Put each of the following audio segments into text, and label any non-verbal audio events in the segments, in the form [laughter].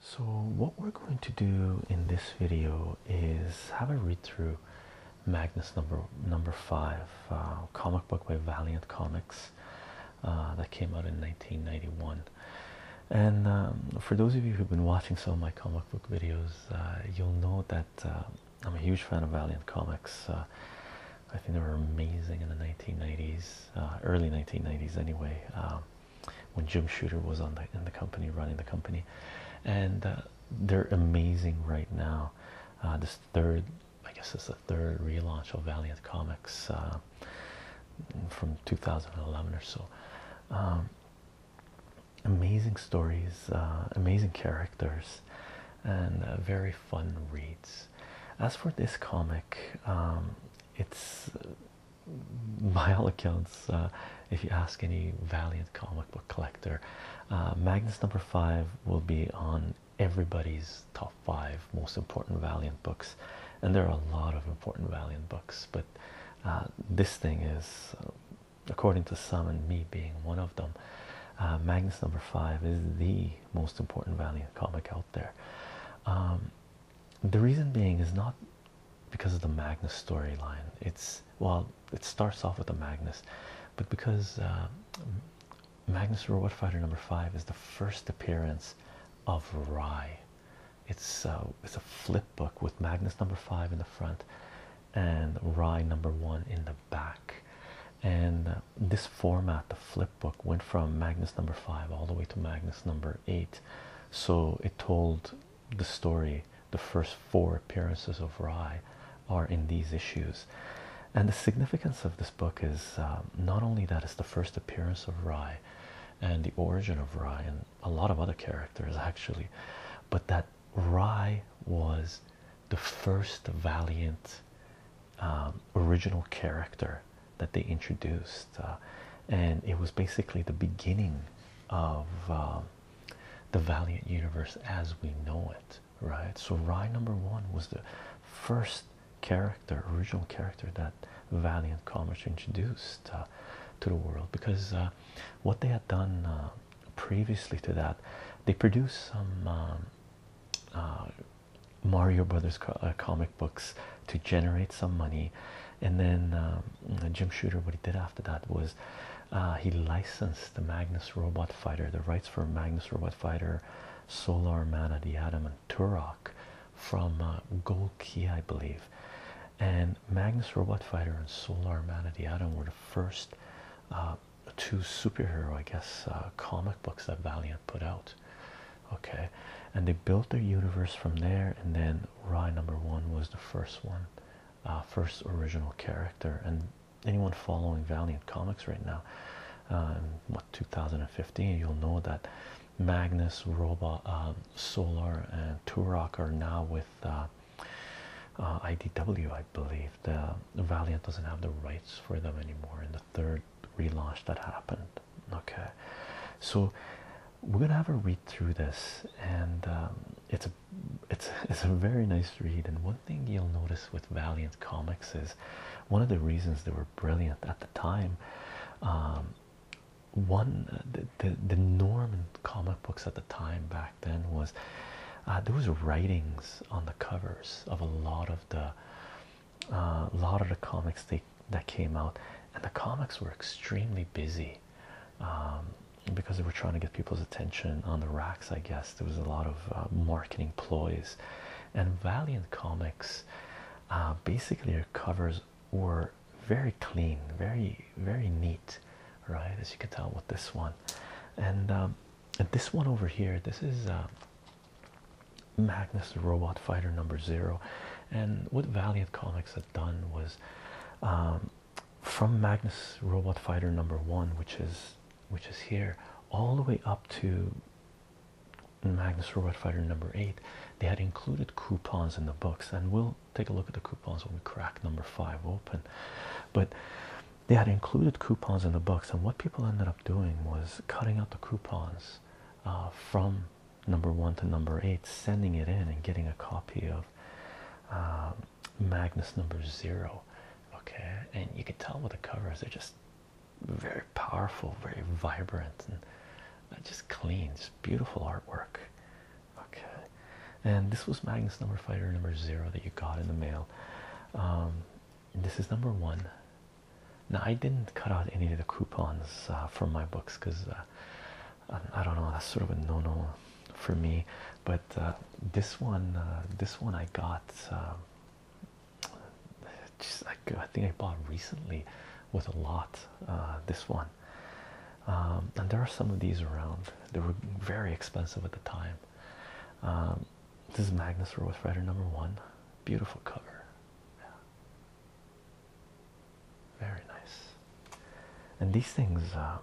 So what we're going to do in this video is have a read through Magnus number number five uh, comic book by Valiant Comics uh, that came out in 1991. And um, for those of you who've been watching some of my comic book videos, uh, you'll know that I'm a huge fan of Valiant Comics. I think they were amazing in the 1990s uh, early 1990s anyway um, when Jim Shooter was on the in the company running the company and uh, they're amazing right now uh, this third I guess it's the third relaunch of Valiant Comics uh, from 2011 or so um, amazing stories amazing characters and very fun reads as for this comic um, it's uh, by all accounts uh, if you ask any valiant comic book collector uh, magnus number five will be on everybody's top five most important valiant books and there are a lot of important valiant books but this thing is according to some and me being one of them magnus number five is the most important valiant comic out there um, the reason being is not because of the Magnus storyline. It's well, it starts off with the Magnus, but because uh, Magnus Robot Fighter number five is the first appearance of Rye. It's uh, it's a flip book with Magnus number five in the front and Rye number one in the back, and uh, this format the flip book went from magnus number five all the way to magnus number eight so it told the story the first four appearances of rye are in these issues and the significance of this book is um, not only that it's the first appearance of rye and the origin of rye and a lot of other characters actually but that rye was the first valiant um, original character that they introduced, uh, and it was basically the beginning of um, the Valiant universe as we know it, right? So, Rye number one was the first character, original character that Valiant Comics introduced uh, to the world because uh, what they had done previously to that, they produced some. Um, Mario Brothers uh, comic books to generate some money, and then um, Jim Shooter. What he did after that was uh, he licensed the Magnus Robot Fighter, the rights for Magnus Robot Fighter, Solar Mana, the Atom, and Turok from uh, Gold Key, I believe. And Magnus Robot Fighter and Solar Man of the Atom were the first uh, two superhero, I guess, comic books that Valiant put out okay and they built their universe from there and then rye number one was the first one, uh, first original character and anyone following valiant comics right now uh, what 2015 you'll know that magnus robot um, solar and turok are now with uh, idw i believe the valiant doesn't have the rights for them anymore in the third relaunch that happened okay so we're gonna have a read through this and um, it's a it's [laughs] it's a very nice read and one thing you'll notice with Valiant Comics is one of the reasons they were brilliant at the time um, one the, the norm in comic books at the time back then was uh, there was writings on the covers of a lot of the a lot of the comics they, that came out, and the comics were extremely busy um, because they were trying to get people's attention on the racks. I guess there was a lot of uh, marketing ploys, and Valiant Comics uh, basically their covers were very clean, very very neat, right? As you can tell with this one, and um, and this one over here, this is. Uh, Magnus Robot Fighter number zero. And what Valiant Comics had done was um, from Magnus Robot Fighter number one, which is which is here, all the way up to Magnus Robot Fighter number eight, they had included coupons in the books, and we'll take a look at the coupons when we crack number five open. But they had included coupons in the books, and what people ended up doing was cutting out the coupons uh, from number one to number eight, sending it in and getting a copy of um, Magnus number zero. Okay, and you can tell with the covers, they're just very powerful, very vibrant, and uh, just clean, just beautiful artwork. Okay, and this was Magnus number fighter number zero that you got in the mail. Um, this is number one. Now I didn't cut out any of the coupons uh, from my books because uh, I don't know that's sort of a no-no for me. But uh, this one, this one I got. Um, I think I bought recently with a lot. this one, um, and there are some of these around. They were very expensive at the time. Um, this is Magnus Rose number one. Beautiful cover. Very nice. And these things um,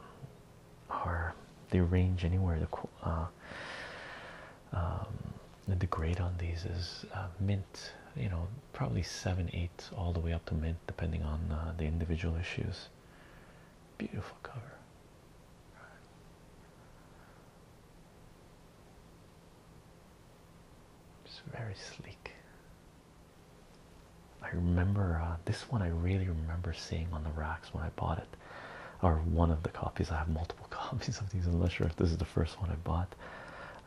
are they range anywhere. The uh, um, the grade on these is uh, mint. You know, probably seven, eight, all the way up to mint, depending on uh, the individual issues. Beautiful cover. It's very sleek. I remember uh, this one. I really remember seeing on the racks when I bought it, or one of the copies. I have multiple [laughs] copies of these. I'm not sure if this is the first one I bought.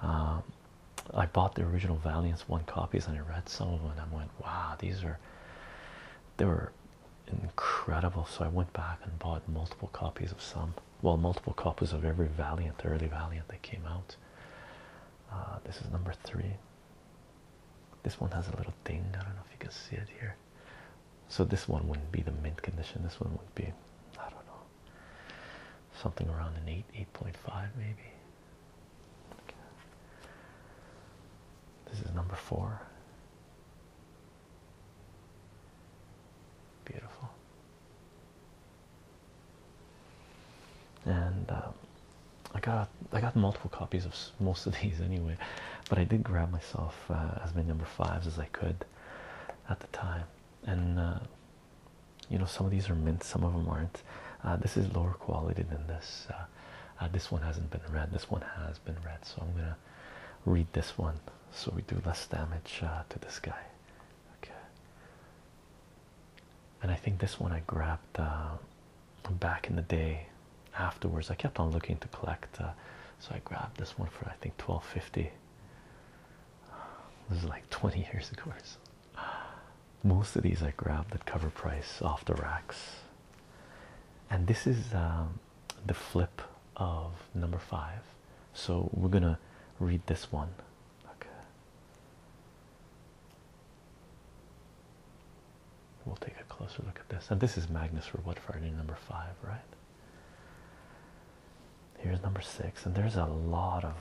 Um, I bought the original Valiant one copies, and I read some of them. and I went, "Wow, these are they were incredible." So I went back and bought multiple copies of some well multiple copies of every valiant early valiant that came out uh, this is number three this one has a little ding i don't know if you can see it here so this one wouldn't be the mint condition this one would be i don't know something around an 8 8.5 maybe this is number four beautiful and uh, I got I got multiple copies of most of [laughs] these anyway, but I did grab myself uh, as many number fives as I could at the time, and uh, you know some of these are mint, some of them aren't. this is lower quality than this. this one hasn't been read. This one has been read, so I'm gonna read this one so we do less damage to this guy. Okay, and I think this one I grabbed uh, back in the day. Afterwards, I kept on looking to collect, uh, so I grabbed this one for I think twelve fifty. This is like twenty years ago. so. Most of these I grabbed at cover price off the racks, and this is um, the flip of number five. So we're gonna read this one Okay. We'll take a closer look at this. And this is Magnus for what, Friday number five, right? Here's number six, and there's a lot of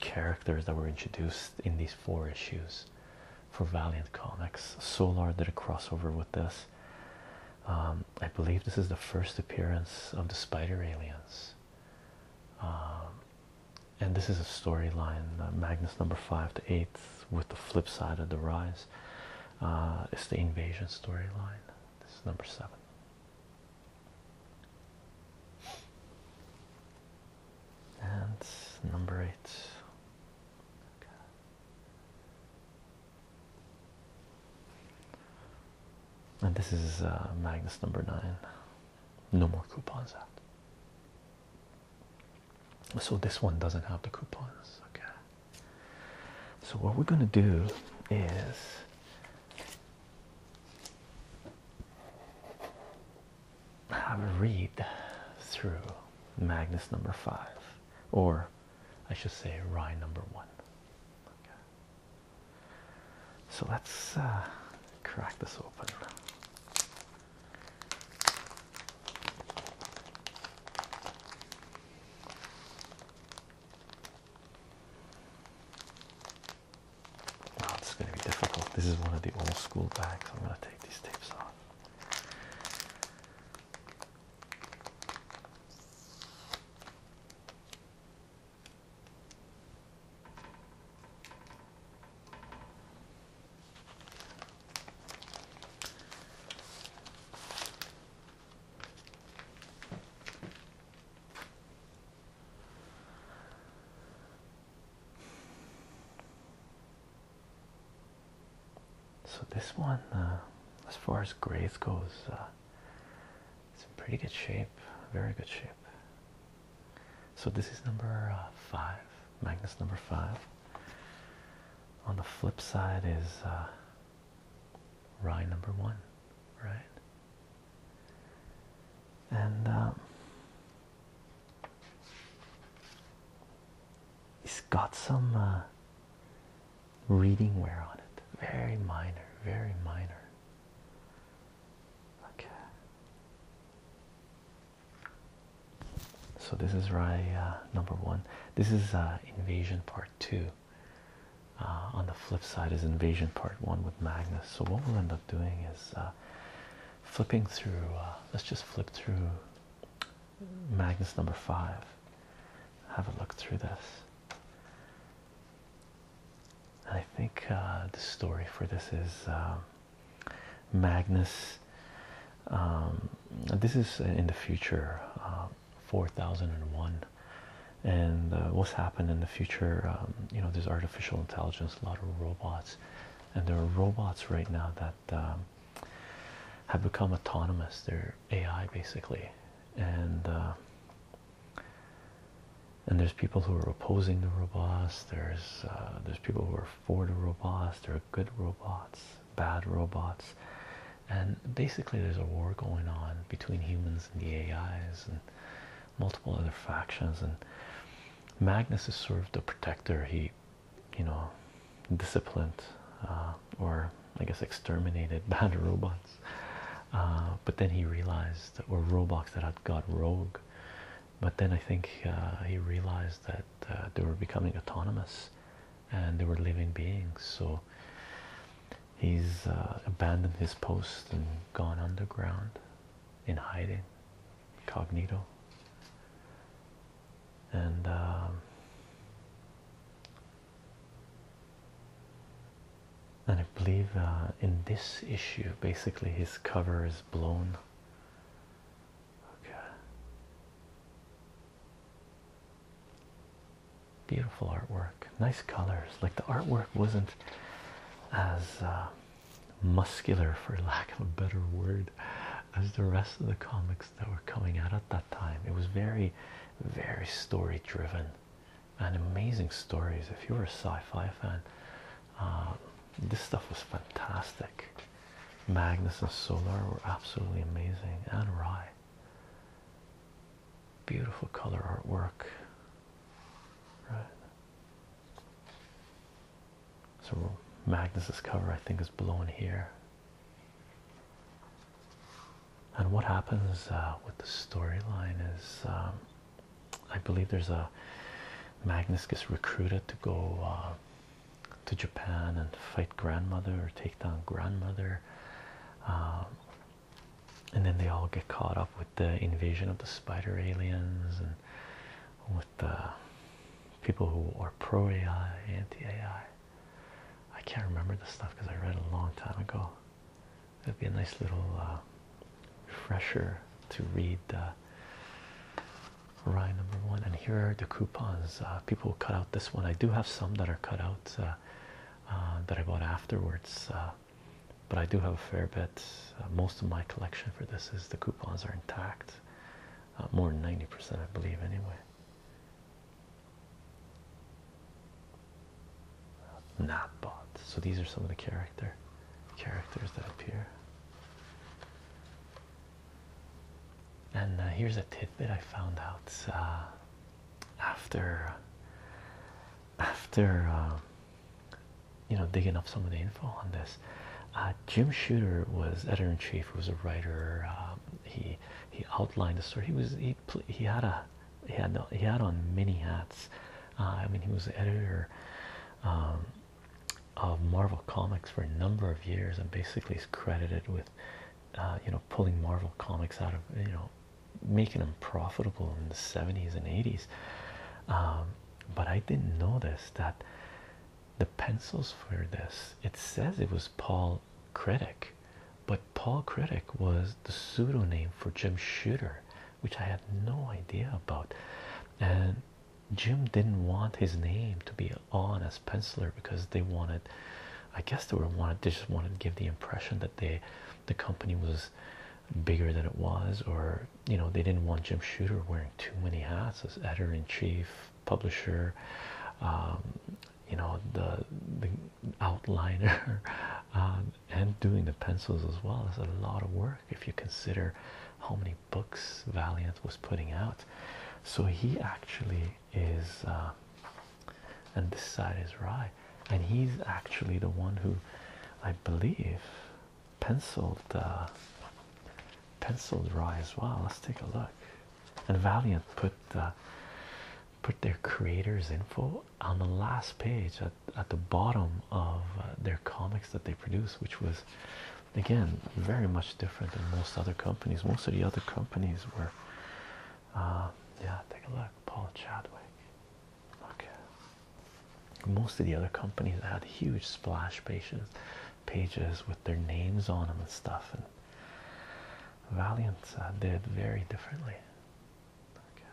characters that were introduced in these four issues for Valiant Comics. Solar did a crossover with this. Um, I believe this is the first appearance of the spider aliens. Um, and this is a storyline, uh, Magnus number five to eight, with the flip side of the rise. Uh, it's the invasion storyline. This is number seven. And number eight and this is uh, Magnus number nine. No more coupons out. So this one doesn't have the coupons. Okay. So what we're gonna do is have a read through Magnus number five, or I should say Rye number one. So let's uh, crack this open. Oh, it's going to be difficult. This is one of the old school bags. I'm going to take these tapes off. So this one, uh, as far as grace goes, uh, it's in pretty good shape, very good shape. So this is number uh, five, Magnus number five. On the flip side is uh, Rye number one, right? And um, has got some uh, reading wear on it, very minor, very minor. Okay. So this is Raya uh, number one. This is uh, Invasion Part Two. Uh, on the flip side is Invasion Part One with Magnus. So what we'll end up doing is flipping through. let's just flip through Magnus number five. Have a look through this. I think uh, the story for this is um, Magnus. Um, this is in the future, um, 4001. And uh, what's happened in the future? you know, there's artificial intelligence, a lot of robots, and there are robots right now that have become autonomous. They're AI basically, and uh, and there's people who are opposing the robots there's uh, there's people who are for the robots there are good robots bad robots and basically there's a war going on between humans and the ais and multiple other factions and magnus is sort of the protector he you know disciplined uh, or i guess exterminated [laughs] bad robots uh, but then he realized that were robots that had got rogue, but then I think uh, he realized that uh, they were becoming autonomous and they were living beings, so he's uh, abandoned his post and gone underground in hiding, incognito. And um, and I believe uh, in this issue, basically his cover is blown. Okay. Beautiful artwork, nice colors. Like the artwork wasn't as uh, muscular, for lack of a better word, as the rest of the comics that were coming out at that time. It was very, very story driven and amazing stories. If you were a sci-fi fan, uh, this stuff was fantastic. Magnus and Solar were absolutely amazing, and Rye. Beautiful color artwork, right? So Magnus's cover, I think, is blown here. And what happens uh, with the storyline is um, I believe there's a Magnus gets recruited to go uh, to Japan and fight grandmother or take down grandmother. Um, and then they all get caught up with the invasion of the spider aliens and with the people who are pro AI, anti AI. I can't remember the stuff because I read a long time ago. That'd be a nice little uh, refresher to read uh, Rye number one. And here are the coupons. Uh, people will cut out this one. I do have some that are cut out uh, that I bought afterwards, but I do have a fair bit. most of my collection for this is the coupons are intact. more than 90%, I believe, anyway. Napbot. So these are some of the character characters that appear. And uh, here's a tidbit I found out uh, after uh, after um, you know digging up some of the info on this. Jim Shooter was editor in chief. He was a writer. Um, he he outlined the story. He was he he had a he had he had on many hats uh, I mean, he was the editor um, of Marvel Comics for a number of years, and basically is credited with, uh, you know, pulling Marvel Comics out of, you know, making them profitable in the 70s and 80s. Um, but I didn't know this: that the pencils for this, it says it was Paul Critic, but Paul Critic was the pseudonym for Jim Shooter which I had no idea about. And Jim didn't want his name to be on as penciler because they wanted, I guess they were wanted, they just wanted to give the impression that they, the company was bigger than it was, or you know, they didn't want Jim Shooter wearing too many hats as editor in chief, publisher. Um, you know the the outliner [laughs] um, and doing the pencils as well is a lot of work if you consider how many books Valiant was putting out. So he actually is, uh, and this side is Rye, and he's actually the one who, I believe, penciled uh, penciled Rye as well. Let's take a look. And Valiant put uh, put their creators info on the last page at, the bottom of uh, their comics that they produced, which was again very much different than most other companies. Most of the other companies were, uh, yeah, take a look, Paul Chadwick. most of the other companies had huge splash pages, pages with their names on them and stuff. And Valiant uh, did very differently. Okay.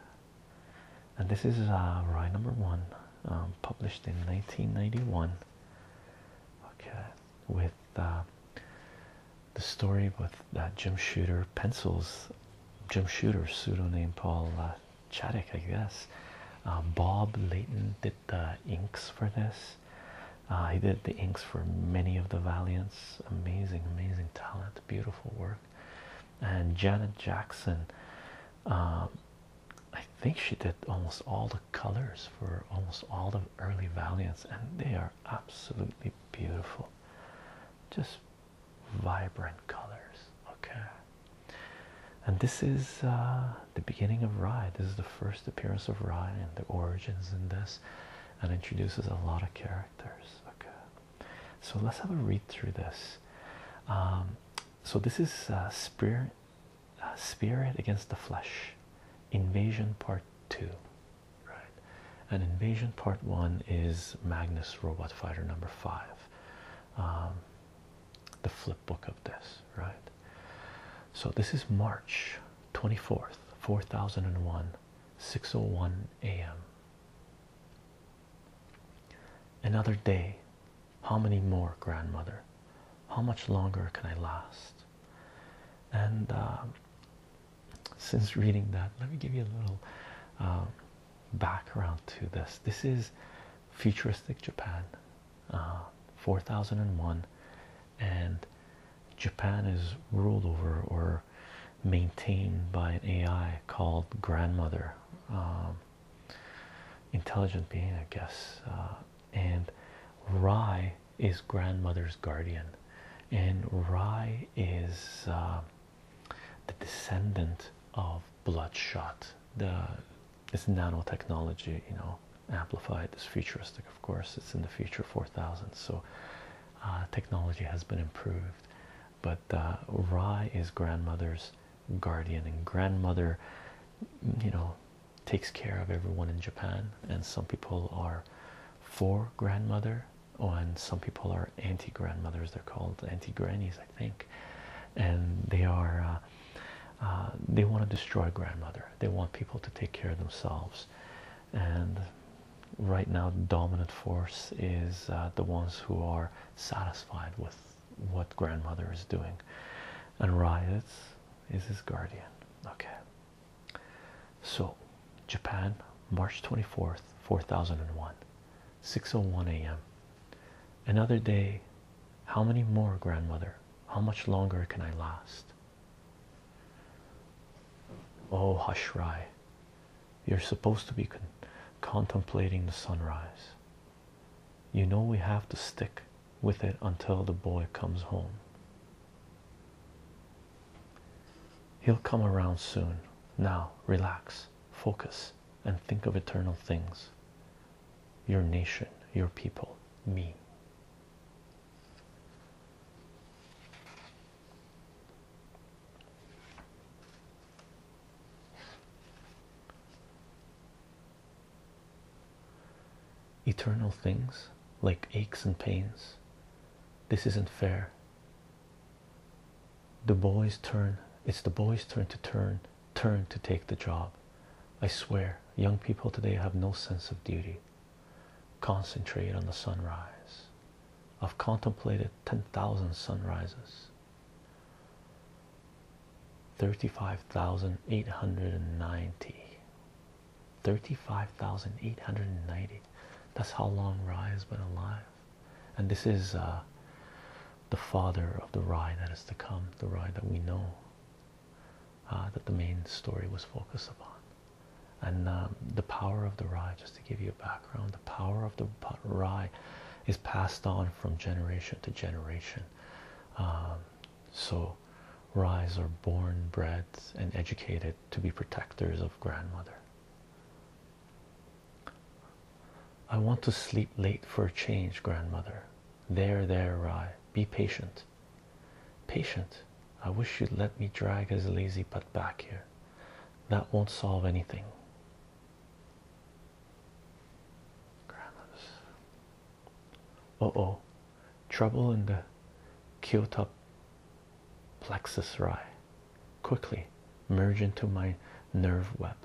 And this is uh, rye number one, um, published in 1991. Okay, with uh, the story with uh, Jim Shooter pencils, Jim Shooter pseudonym Paul uh, I guess. Um, Bob Layton did the inks for this. Uh, he did the inks for many of the Valiants. Amazing, amazing talent, beautiful work and Janet Jackson. Um, I think she did almost all the colors for almost all the early Valiants, and they are absolutely beautiful, just vibrant colors. Okay, and this is uh, the beginning of Rye. This is the first appearance of Rye and the origins in this, and introduces a lot of characters. Okay, so let's have a read through this. Um, so this is uh, spirit uh, spirit against the flesh invasion part two right and invasion part one is magnus robot fighter number five um, the flip book of this right so this is march 24th 4001 601 a.m another day how many more, grandmother? How much longer can I last? And um, since reading that, let me give you a little um, background to this. This is futuristic Japan, uh, 4001, and Japan is ruled over or maintained by an AI called Grandmother. Um, intelligent being, I guess. Uh, and Rai is grandmother's guardian, and Rai is uh, the descendant of Bloodshot. The it's nanotechnology, you know, amplified. It's futuristic, of course. It's in the future, four thousand. So uh, technology has been improved but uh, Rai is grandmother's guardian, and grandmother, you know, takes care of everyone in Japan. And some people are for grandmother, and some people are anti grandmothers, they're called anti grannies, I think. And they are, uh, uh, they want to destroy grandmother, they want people to take care of themselves. And right now, dominant force is the ones who are satisfied with what grandmother is doing. And Riot is his guardian. Okay. So, Japan, March 24th, 4001, one oh a.m. Another day. How many more, grandmother? How much longer can I last? Oh, hush, Hashrai, you're supposed to be contemplating the sunrise. You know we have to stick with it until the boy comes home. He'll come around soon. Now, relax, focus, and think of eternal things your nation, your people, me. Eternal things like aches and pains. This isn't fair. The boy's turn. It's the boy's turn to turn, turn to take the job. I swear, young people today have no sense of duty. Concentrate on the sunrise. I've contemplated 10,000 sunrises. 35,890 35,890 that's how long Rye has been alive and this is uh, the father of the Rye that is to come the Rye that we know uh, that the main story was focused upon and um, the power of the Rye just to give you a background the power of the Rye is passed on from generation to generation. Um, so, Rye are born, bred, and educated to be protectors of grandmother. I want to sleep late for a change, grandmother. There, there, Rye. Be patient. Patient. I wish you'd let me drag his lazy butt back here. That won't solve anything. Grandma's. Uh oh, trouble in the Kyoto plexus rye. Quickly merge into my nerve web.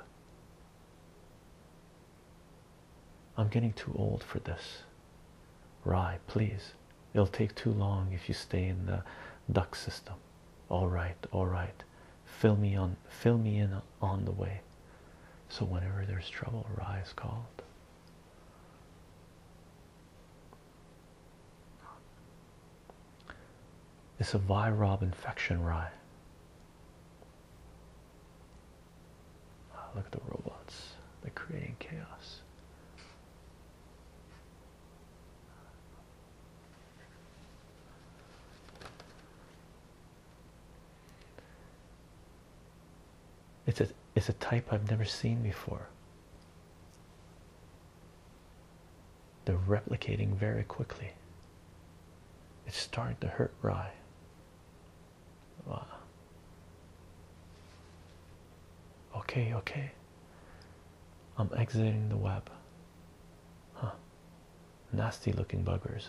I'm getting too old for this. Rye, please. It'll take too long if you stay in the duct system. All right, all right fill me on fill me in on the way so whenever there's trouble Rye is called it's a virob infection rye ah, look at the robots they're creating chaos it's a it's a type I've never seen before. They're replicating very quickly. It's starting to hurt Rye. Wow. Okay, okay. I'm exiting the web. Huh. Nasty looking buggers.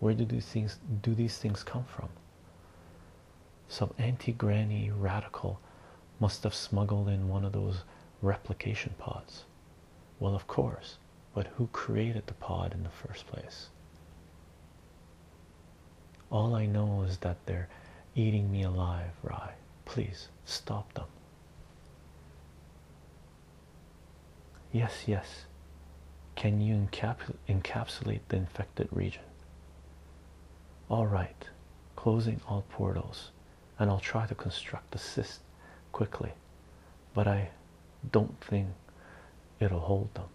Where do these things do these things come from? Some anti-granny radical must have smuggled in one of those replication pods. Well, of course, but who created the pod in the first place? All I know is that they're eating me alive, Rye. Please stop them. Yes, yes. Can you encapsulate the infected region? All right, closing all portals, and I'll try to construct the cyst quickly, but I don't think it'll hold them.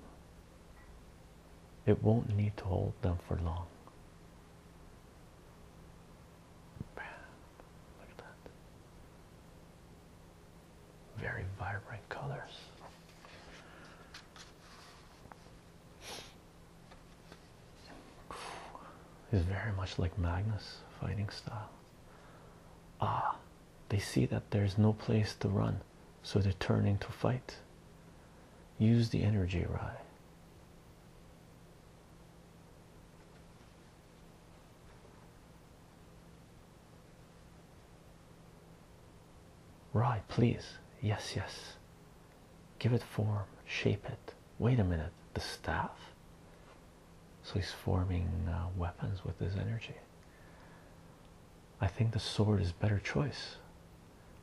It won't need to hold them for long. Look at that. Very vibrant colors. It's very much like Magnus fighting style. Ah, they see that there's no place to run, so they're turning to fight. Use the energy rye. Right, please. Yes, yes. Give it form, shape it. Wait a minute. The staff? So he's forming uh, weapons with his energy. I think the sword is better choice.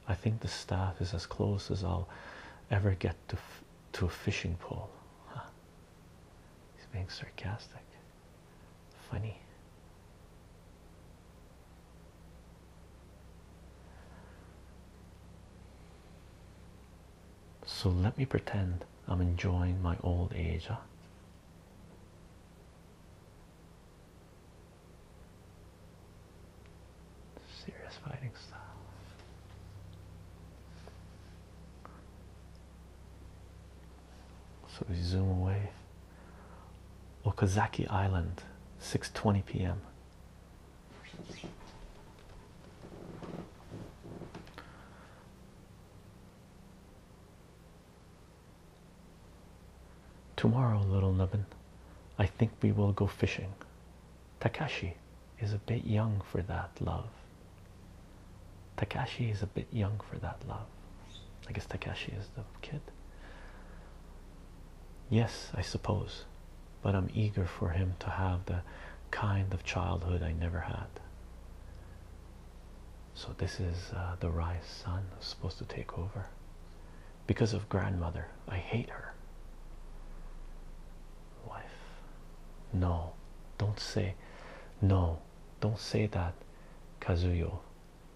I think the staff is as close as I'll ever get to to a fishing pole. He's being sarcastic. Funny. So let me pretend I'm enjoying my old age. Serious fighting style. So we zoom away. Okazaki Island, 6:20 p.m. Tomorrow, little nubbin, I think we will go fishing. Takashi is a bit young for that, love. Takashi is a bit young for that love. I guess Takashi is the kid. Yes, I suppose, but I'm eager for him to have the kind of childhood I never had. So, this is uh, the rise son who's supposed to take over because of grandmother. I hate her. Wife, no, don't say no. Don't say that, Kazuyo.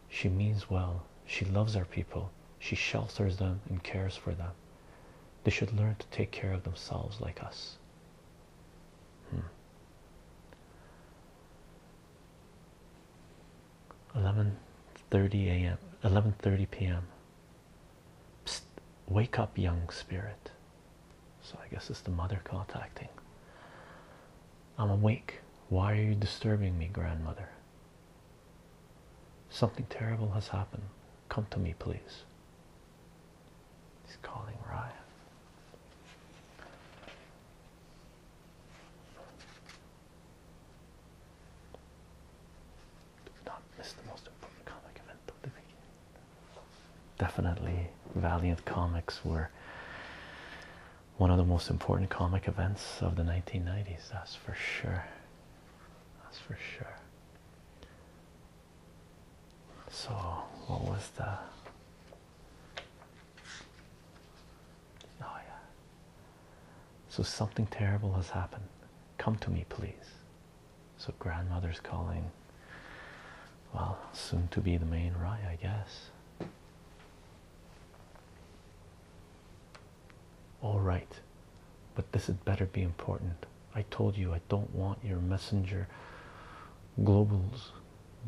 She means well. She loves our people. She shelters them and cares for them. They should learn to take care of themselves like us. Hmm. Eleven thirty a.m. Eleven thirty p.m. Psst, wake up, young spirit. So I guess it's the mother contacting. I'm awake. Why are you disturbing me, grandmother? Something terrible has happened. Come to me, please. He's calling Ryan. Do not miss the most important comic event of the weekend. Definitely, Valiant Comics were one of the most important comic events of the 1990s. That's for sure. That's for sure. So, what was the. Oh, yeah. So, something terrible has happened. Come to me, please. So, grandmother's calling well soon to be the main rye I guess all right but this had better be important I told you I don't want your messenger globals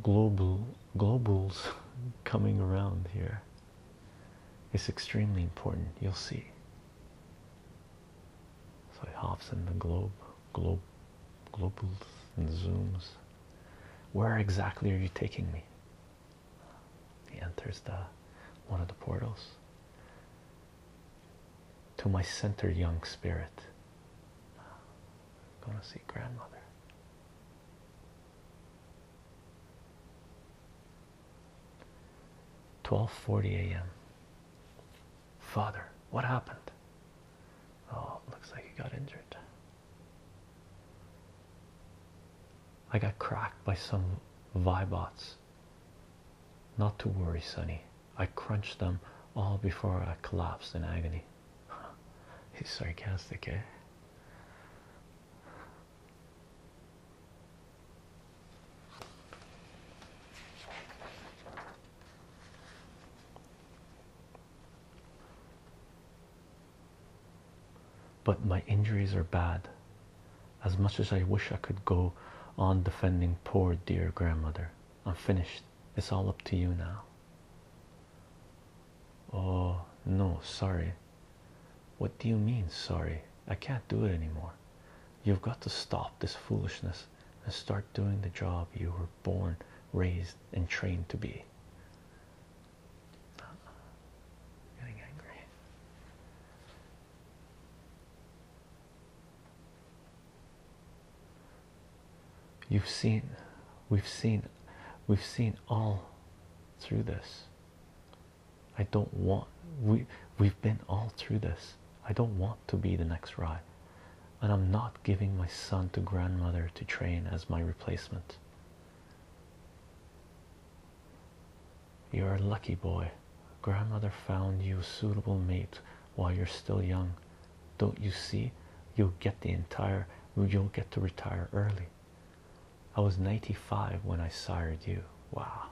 global globals [laughs] coming around here it's extremely important you'll see so it hops in the globe Globe, globes, and zooms. Where exactly are you taking me? He enters the one of the portals. To my center, young spirit. I'm gonna see grandmother. Twelve forty AM. Father, what happened? Oh, looks like he got injured. I got cracked by some Vibots. Not to worry, Sonny. I crunched them all before I collapsed in agony. [laughs] He's sarcastic, eh? But my injuries are bad. As much as I wish I could go on defending poor dear grandmother, I'm finished. It's all up to you now. Oh, no, sorry. What do you mean, sorry? I can't do it anymore. You've got to stop this foolishness and start doing the job you were born, raised, and trained to be. Getting angry. You've seen, we've seen, we've seen all through this. I don't want we we've been all through this. I don't want to be the next ride and I'm not giving my son to grandmother to train as my replacement. You're a lucky boy. Grandmother found you a suitable mate while you're still young. Don't you see? You'll get the entire, you'll get to retire early. I was 95 when I sired you. Wow,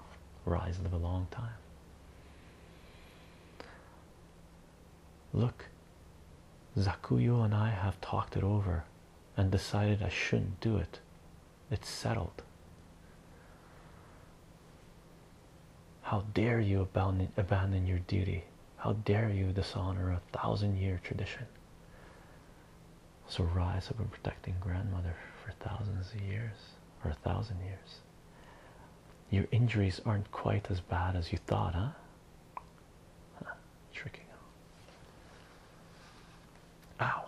rise live a long time. Look, Zakuyo and I have talked it over and decided I shouldn't do it. It's settled. How dare you abandon, abandon your duty? How dare you dishonor a thousand year tradition? So, Rise up and protect your grandmother for thousands of years, or a thousand years. Your injuries aren't quite as bad as you thought, huh? tricking Ow.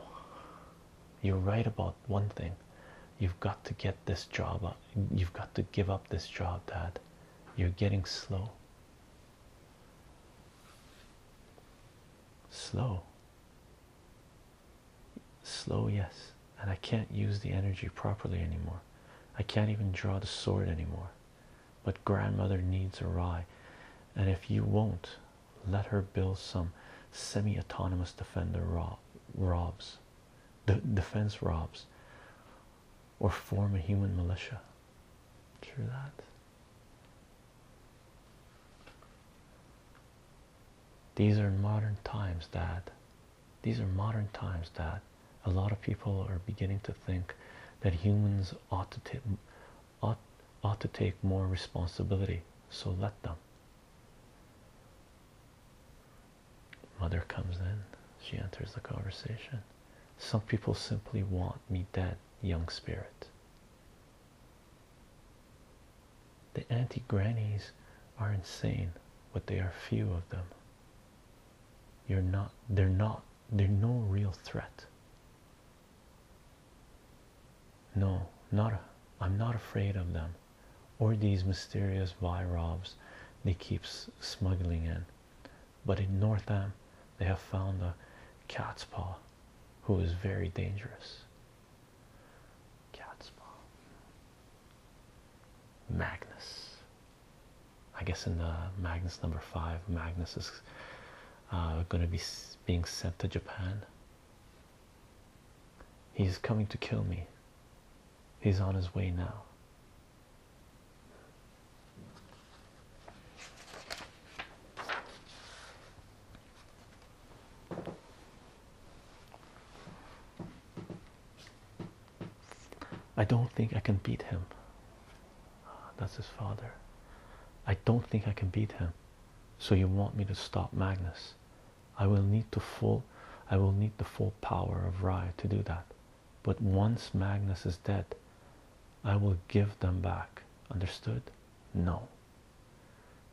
You're right about one thing. You've got to get this job You've got to give up this job, Dad. You're getting slow. Slow. Slow, yes. And I can't use the energy properly anymore. I can't even draw the sword anymore. But grandmother needs a rye, and if you won't, let her build some semi-autonomous defender robs, defense robs, or form a human militia. True that. These are modern times, Dad. These are modern times, Dad a lot of people are beginning to think that humans ought to take ought, ought to take more responsibility so let them mother comes in she enters the conversation some people simply want me dead young spirit the anti-grannies are insane but they are few of them you're not they're not they're no real threat. No, not a, I'm not afraid of them or these mysterious virobs they keep smuggling in. But in Northam, they have found a cat's paw who is very dangerous. Cat's paw. Magnus. I guess in uh, Magnus number five, Magnus is uh, going to be being sent to Japan. He's coming to kill me. He's on his way now. I don't think I can beat him. That's his father. I don't think I can beat him. So you want me to stop Magnus? I will need the full power of Rye to do that. But once Magnus is dead, I will give them back. Understood? No.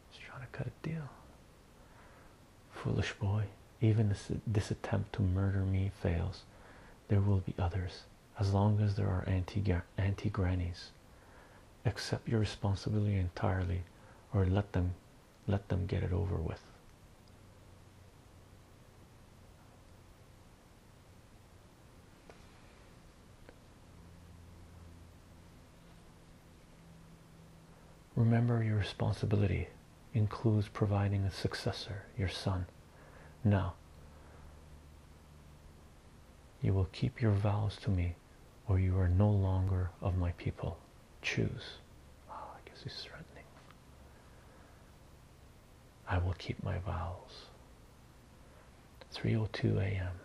He's trying to cut a deal. Foolish boy. Even if this attempt to murder me fails. There will be others as long as there are anti-grannies accept your responsibility entirely or let them let them get it over with remember your responsibility includes providing a successor your son now, you will keep your vows to me, or you are no longer of my people. Choose. Oh, I guess he's threatening. I will keep my vows. 3:02 a.m.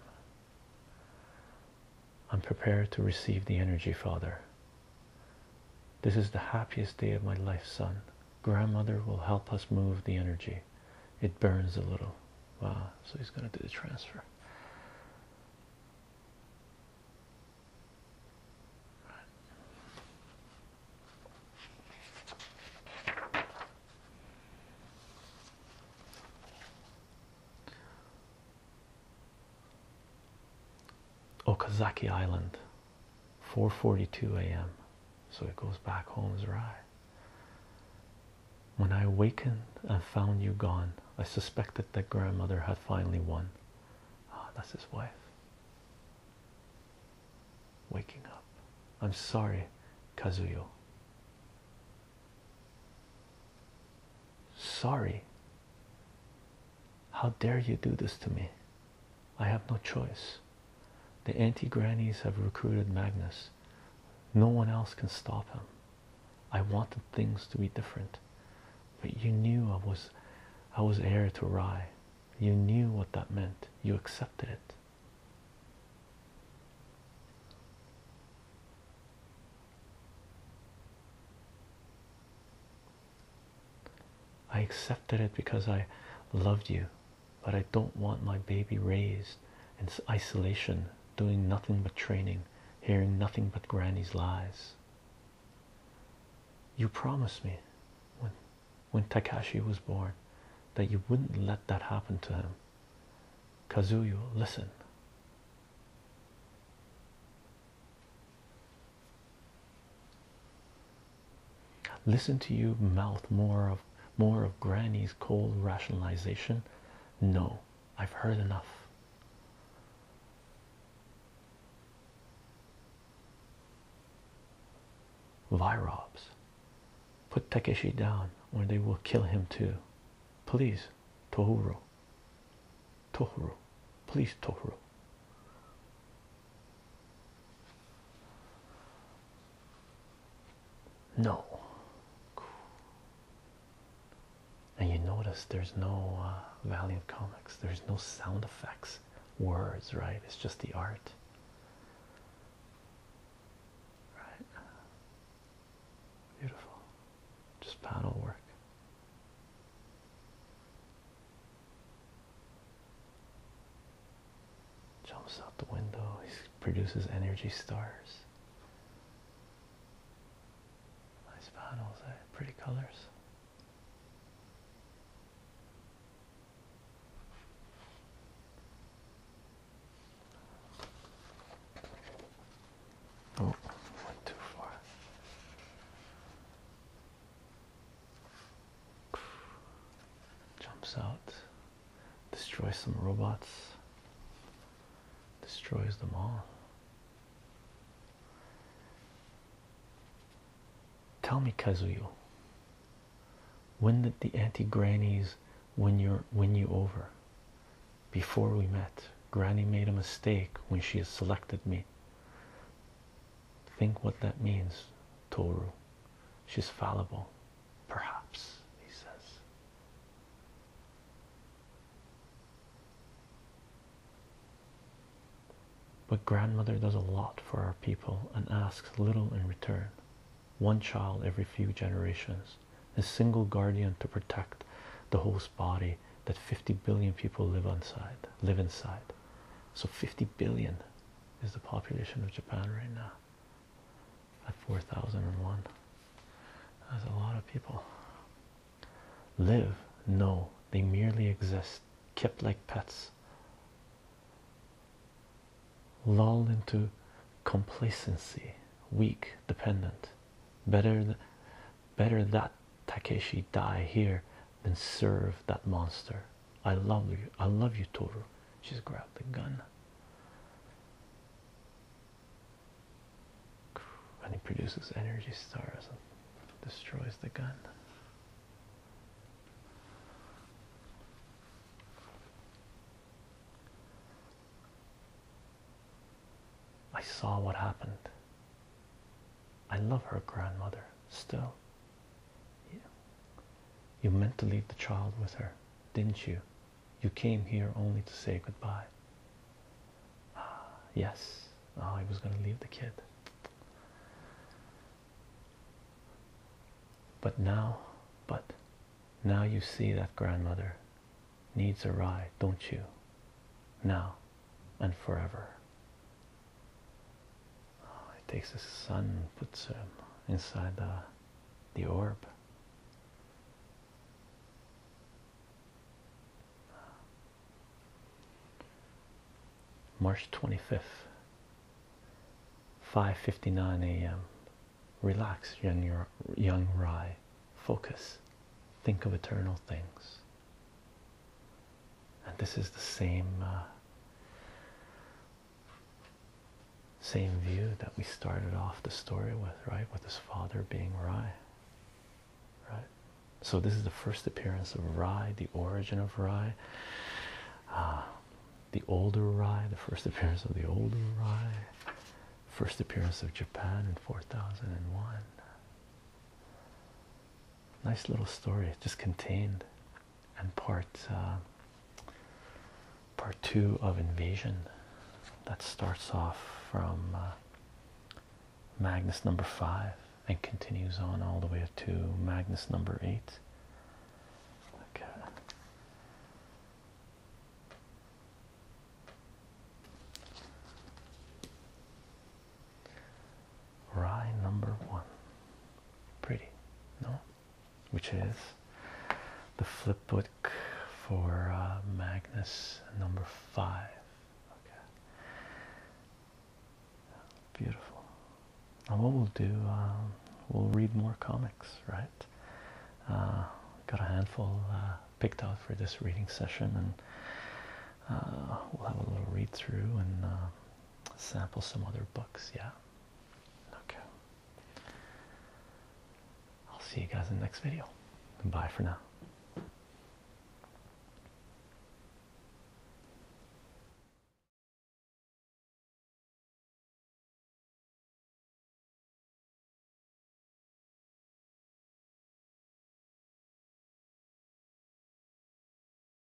I'm prepared to receive the energy, Father. This is the happiest day of my life, son. Grandmother will help us move the energy. It burns a little. Wow, so he's going to do the transfer. Okazaki Island 4:42 a.m. So he goes back home as right. When I awakened and found you gone, I suspected that grandmother had finally won. Ah, that's his wife. Waking up. I'm sorry, Kazuyo. Sorry. How dare you do this to me? I have no choice. The anti grannies have recruited Magnus. No one else can stop him. I wanted things to be different. But you knew I was I was heir to Rye. You knew what that meant. You accepted it. I accepted it because I loved you but I don't want my baby raised in isolation, doing nothing but training, hearing nothing but granny's lies. You promised me when, when Takashi was born that you wouldn't let that happen to him. Kazuyo, listen. Listen to you mouth more of more of Granny's cold rationalization. No, I've heard enough. Virobs, put Takeshi down, or they will kill him too. Please, Tohru. Tohru, please, Tohru. No. And you notice there's no uh, of Comics, there's no sound effects, words, right? It's just the art. Right? Beautiful. Just paddle work. Jumps out the window. He produces energy stars. Nice panels, eh? Pretty colors. Oh, went too far. Jumps out, destroys some robots, destroys them all. Tell me, Kazuyo, when did the anti grannies win you over? Before we met, Granny made a mistake when she selected me. Think what that means, Toru. She's fallible, perhaps, he says. But grandmother does a lot for our people and asks little in return. One child every few generations, a single guardian to protect the host body that 50 billion people live inside. Live inside. So 50 billion is the population of Japan right now at 4001. As a lot of people. Live? No, they merely exist, kept like pets, lulled into complacency, weak, dependent. Better, better that Takeshi die here than serve that monster. I love you. I love you, Toru. She's grabbed the gun. And he produces energy stars and destroys the gun. I saw what happened. I love her grandmother still. You meant to leave the child with her, didn't you? You came here only to say goodbye. Ah, yes. Oh, I was going to leave the kid. But now, but now you see that grandmother needs a ride, don't you? Now and forever. Oh, it takes the sun, puts him uh, inside the the orb. March 25th, 5:59 a.m. Relax, young, young Rye. Focus. Think of eternal things. And this is the same uh, same view that we started off the story with, right? With his father being Rye, right? So, this is the first appearance of Rye, the origin of Rye, ah, the older Rye, the first appearance of the older Rye, first appearance of Japan in 4001. Nice little story, just contained and part uh, part two of Invasion that starts off from uh, Magnus number five and continues on all the way to Magnus number eight. Rye number one. Pretty, no? which is the flip book for uh, Magnus number five. Okay, beautiful. And what we'll do, um, we'll read more comics, right? Uh, got a handful uh, picked out for this reading session, and we'll have a little read through and sample some other books. Yeah. Okay. I'll see you guys in the next video. Bye for now.